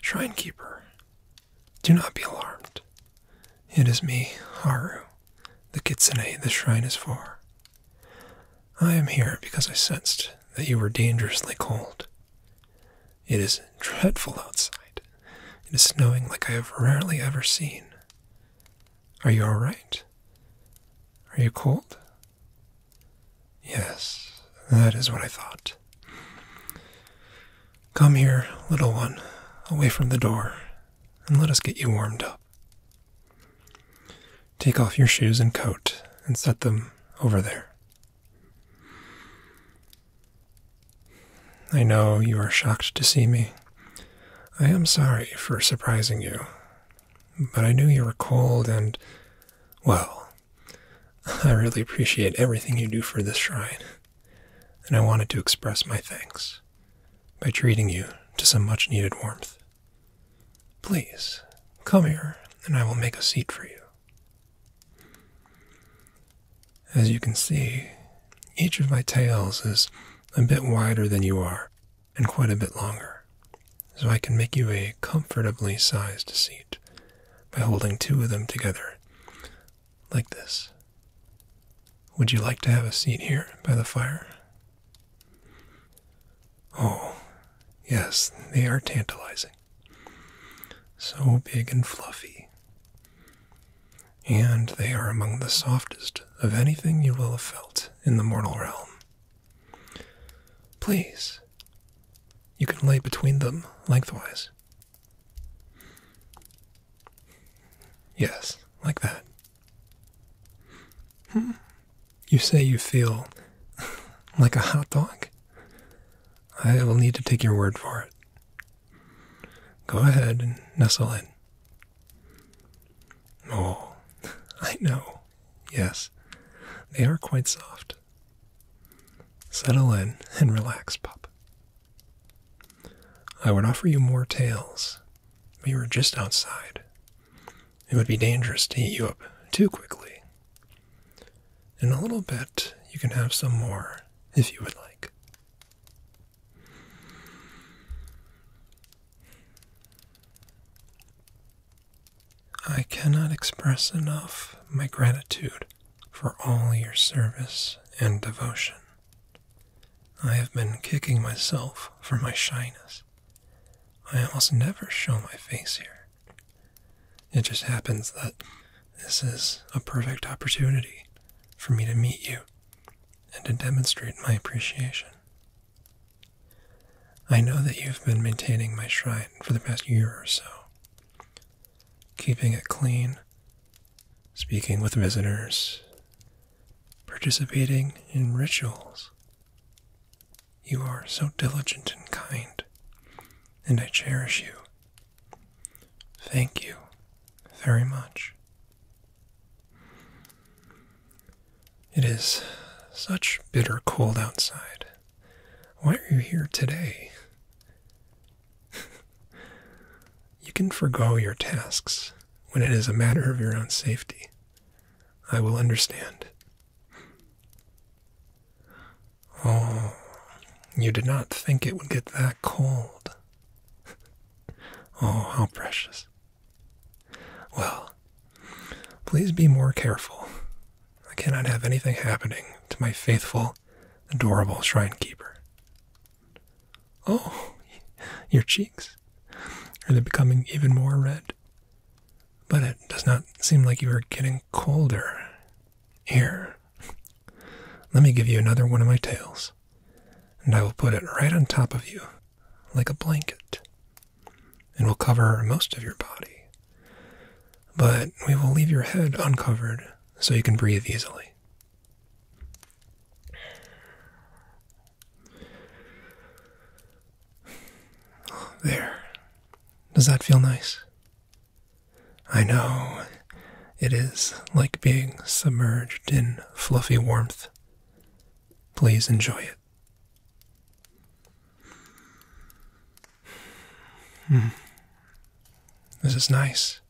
Shrine Keeper, do not be alarmed. It is me, Haru, the kitsune the shrine is for. I am here because I sensed that you were dangerously cold. It is dreadful outside. It is snowing like I have rarely ever seen. Are you all right? Are you cold? Yes, that is what I thought. Come here, little one, away from the door, and let us get you warmed up. Take off your shoes and coat and set them over there. I know you are shocked to see me. I am sorry for surprising you, but I knew you were cold and, well, I really appreciate everything you do for this shrine, and I wanted to express my thanks by treating you to some much needed warmth. Please, come here, and I will make a seat for you. As you can see, each of my tails is a bit wider than you are and quite a bit longer, so I can make you a comfortably sized seat by holding two of them together like this. Would you like to have a seat here by the fire? Oh, yes, they are tantalizing. So big and fluffy. And they are among the softest of anything you will have felt in the mortal realm. Please, you can lay between them lengthwise. Yes, like that. Hmm. You say you feel like a hot dog? I will need to take your word for it. Go ahead and nestle in. Oh, I know. Yes, they are quite soft. Settle in and relax, pup. I would offer you more tails. We were just outside. It would be dangerous to heat you up too quickly in a little bit, you can have some more if you would like. I cannot express enough my gratitude for all your service and devotion. I have been kicking myself for my shyness. I must never show my face here. It just happens that this is a perfect opportunity for me to meet you and to demonstrate my appreciation. I know that you've been maintaining my shrine for the past year or so, keeping it clean, speaking with visitors, participating in rituals. You are so diligent and kind, and I cherish you Thank you very much. It is such bitter cold outside. Why are you here today? you can forego your tasks when it is a matter of your own safety. I will understand. Oh, you did not think it would get that cold. oh, how precious. Well, please be more careful. I cannot have anything happening to my faithful, adorable shrine keeper. Oh, your cheeks. Are they becoming even more red? But it does not seem like you are getting colder. Here, let me give you another one of my tails, and I will put it right on top of you, like a blanket, and will cover most of your body. But we will leave your head uncovered so you can breathe easily. There. Does that feel nice? I know. It is like being submerged in fluffy warmth. Please enjoy it. Hmm. This is nice.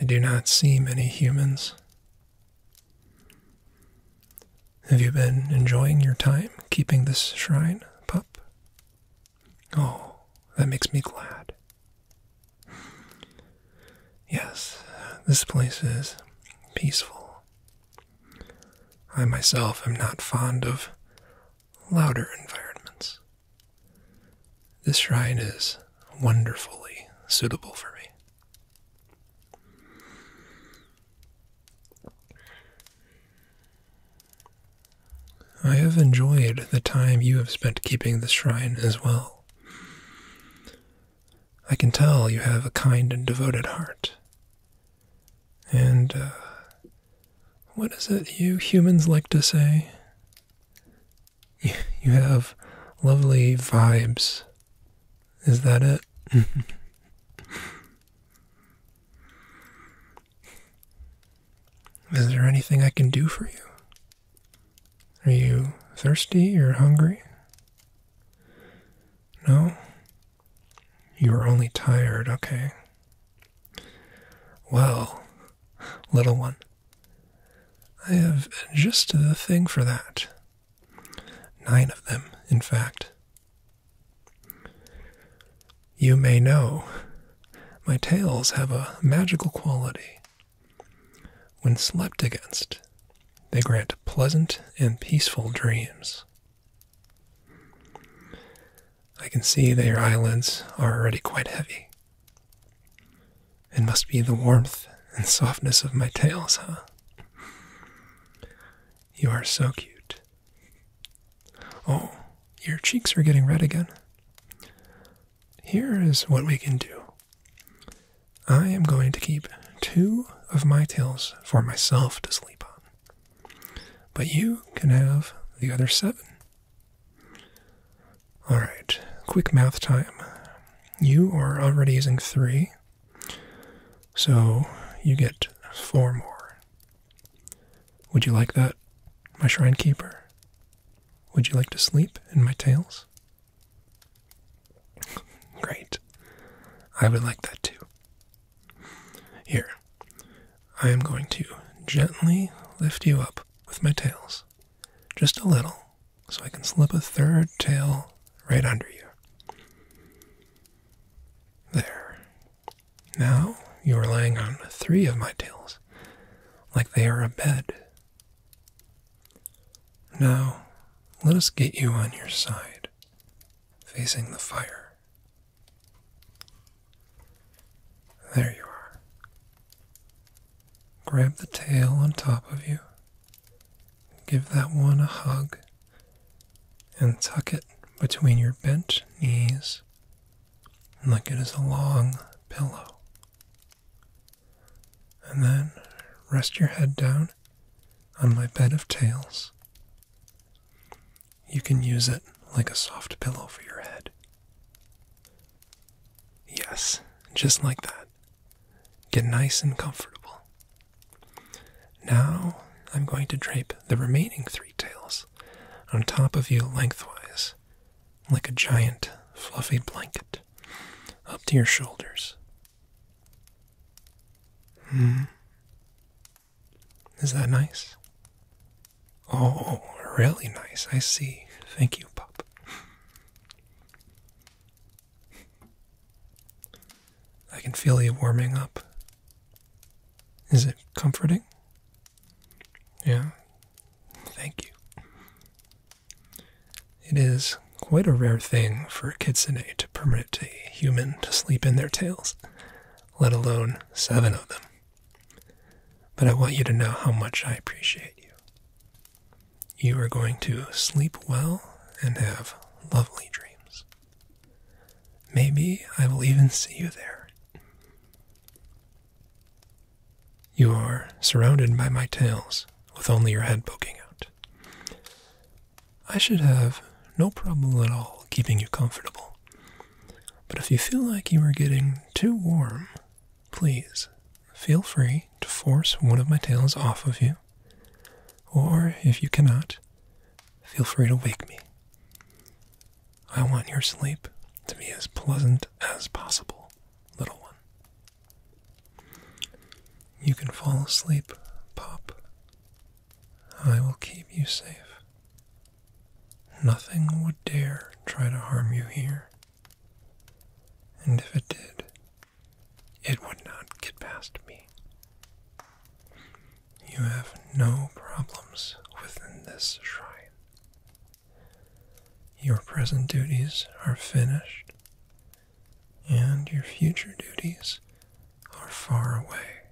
I do not see many humans. Have you been enjoying your time keeping this shrine, pup? Oh, that makes me glad. Yes, this place is peaceful. I myself am not fond of louder environments. This shrine is wonderfully suitable for me. I have enjoyed the time you have spent keeping the shrine as well. I can tell you have a kind and devoted heart. And uh, what is it you humans like to say? you have lovely vibes. Is that it? Is there anything I can do for you? Are you thirsty or hungry? No? You are only tired, okay. Well, little one, I have just the thing for that. Nine of them, in fact. You may know my tails have a magical quality. When slept against, they grant pleasant and peaceful dreams. I can see that your eyelids are already quite heavy. It must be the warmth and softness of my tails, huh? You are so cute. Oh, your cheeks are getting red again. Here is what we can do. I am going to keep two of my tails for myself to sleep on, but you can have the other seven. All right, quick math time. You are already using three, so you get four more. Would you like that, my shrine keeper? Would you like to sleep in my tails? Great. I would like that too. Here, I am going to gently lift you up with my tails, just a little, so I can slip a third tail right under you. There. Now you are lying on three of my tails, like they are a bed. Now let us get you on your side, facing the fire. There you are. Grab the tail on top of you. Give that one a hug and tuck it between your bent knees like it is a long pillow. And then rest your head down on my bed of tails. You can use it like a soft pillow for your head. Yes, just like that. Get nice and comfortable. Now I'm going to drape the remaining three tails on top of you lengthwise, like a giant fluffy blanket, up to your shoulders. Hmm. Is that nice? Oh, really nice. I see. Thank you, Pop. I can feel you warming up is it comforting? Yeah, thank you. It is quite a rare thing for a kitsune to permit a human to sleep in their tails, let alone seven of them. But I want you to know how much I appreciate you. You are going to sleep well and have lovely dreams. Maybe I will even see you there. You are surrounded by my tails, with only your head poking out. I should have no problem at all keeping you comfortable. But if you feel like you are getting too warm, please feel free to force one of my tails off of you or if you cannot, feel free to wake me. I want your sleep to be as pleasant as possible, little one. You can fall asleep, Pop. I will keep you safe. Nothing would dare try to harm you here. And if it did, it would not get past me. You have no problems within this shrine. Your present duties are finished, and your future duties are far away.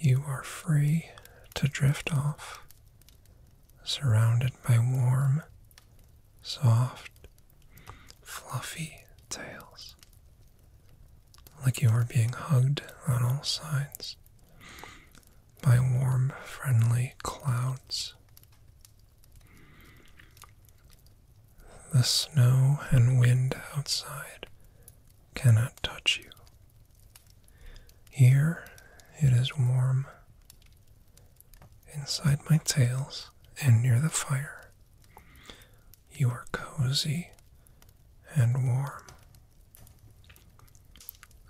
You are free to drift off, surrounded by warm soft, fluffy tails, like you are being hugged on all sides by warm, friendly clouds. The snow and wind outside cannot touch you. Here it is warm inside my tails and near the fire. You are cozy and warm.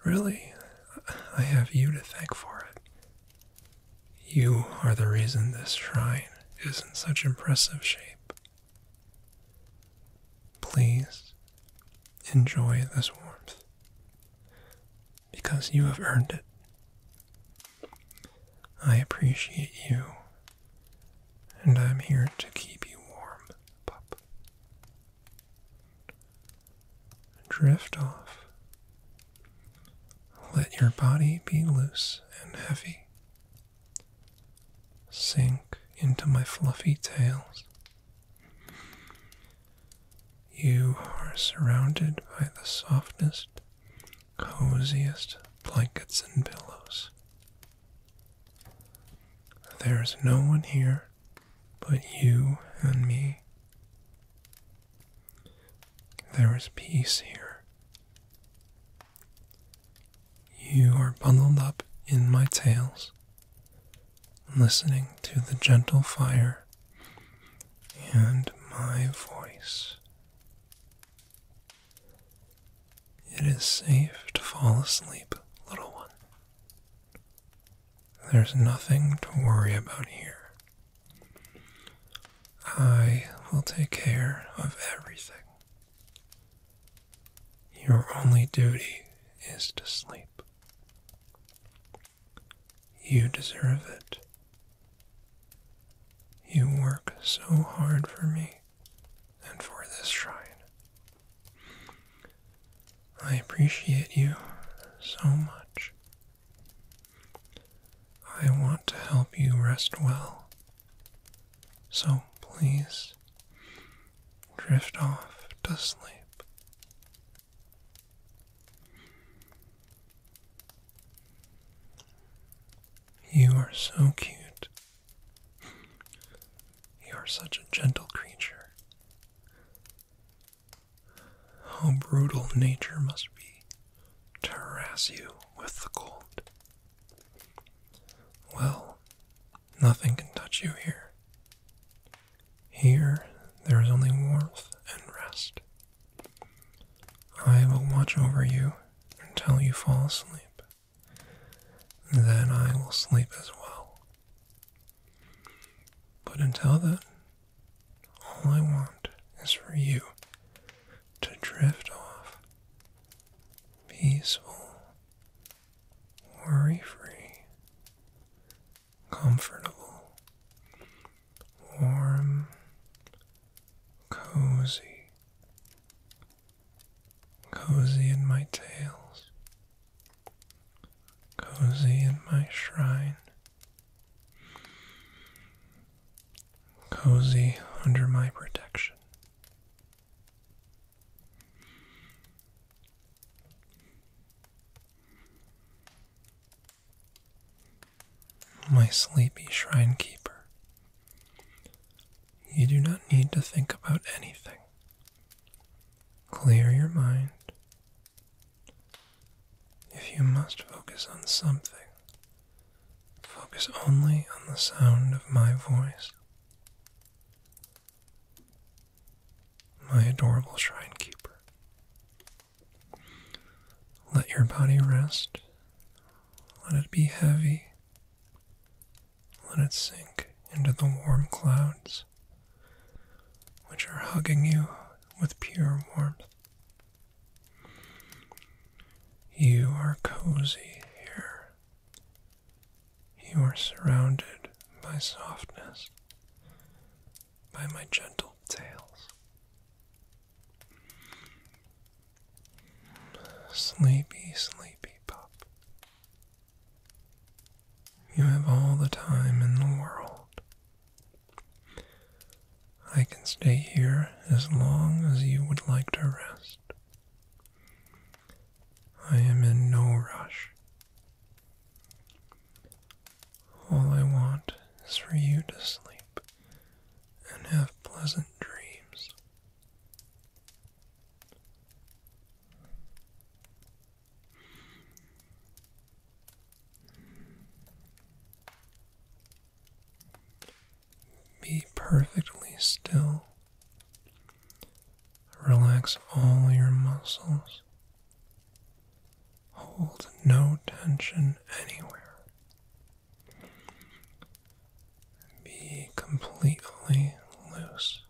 Really, I have you to thank for it. You are the reason this shrine is in such impressive shape. Please enjoy this warmth because you have earned it. I appreciate you, and I'm here to keep you warm, pup. Drift off. Let your body be loose and heavy. Sink into my fluffy tails. You are surrounded by the softest coziest blankets and pillows. There is no one here but you and me. There is peace here. You are bundled up in my tails, listening to the gentle fire and my voice. It is safe to fall asleep, little one. There's nothing to worry about here. I will take care of everything. Your only duty is to sleep. You deserve it. You work so hard for me and for this shrine. I appreciate you so much. I want to help you rest well. So please drift off to sleep. You are so cute. You are such a gentle creature. How brutal nature must be to harass you with the cold. Well, nothing can touch you here. Here there is only warmth and rest. I will watch over you until you fall asleep. Then I will sleep as well. But until then, all I want is for you to drift off peaceful, worry free, comfortable, warm, cozy, cozy in my tails, cozy in my shrine, cozy under my protection. My sleepy shrine keeper, you do not need to think about anything. Clear your mind. If you must focus on something, focus only on the sound of my voice. My adorable shrine keeper, let your body rest. Let it be heavy. Let it sink into the warm clouds, which are hugging you with pure warmth. You are cozy here. You are surrounded by softness by my gentle tales. Sleepy, sleepy pup. You have all the time in the world. I can stay here as long as you would like to rest. I am in no rush. All I want is for you to sleep and have pleasant dreams. Be perfectly still. Relax all your muscles. Hold no tension anywhere. Be completely loose.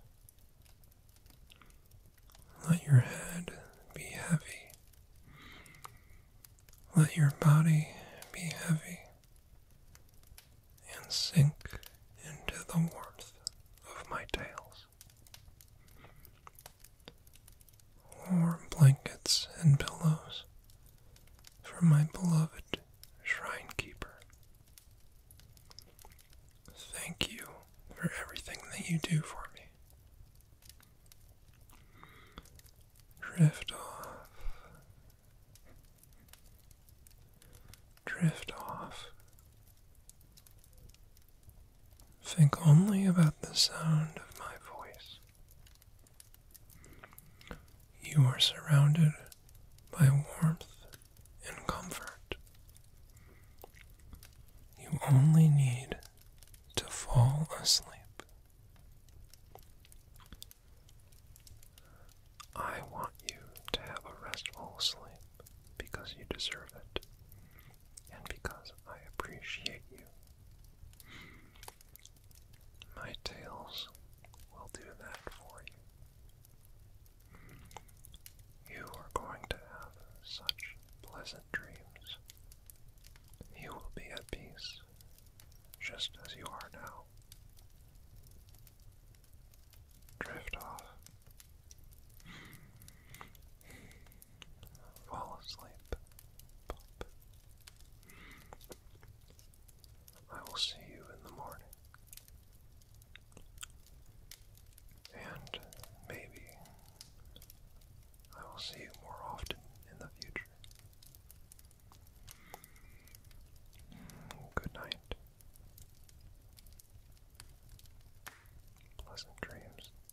Let your head be heavy. Let your body be heavy and sink into the warmth of my tails warm blankets and pillows for my beloved shrine keeper. Thank you for everything that you do for me. Drift off. Drift off Think only about the sound of my voice. You are surrounded by warmth and comfort. You only need to fall asleep. I want you to have a restful sleep because you deserve it and because I appreciate you. My tales will do that for you. You are going to have such pleasant dreams. You will be at peace, just as you are now. Drift off. Fall asleep. I will see you in the morning. And maybe I will see you more often in the future. Good night. Pleasant dreams.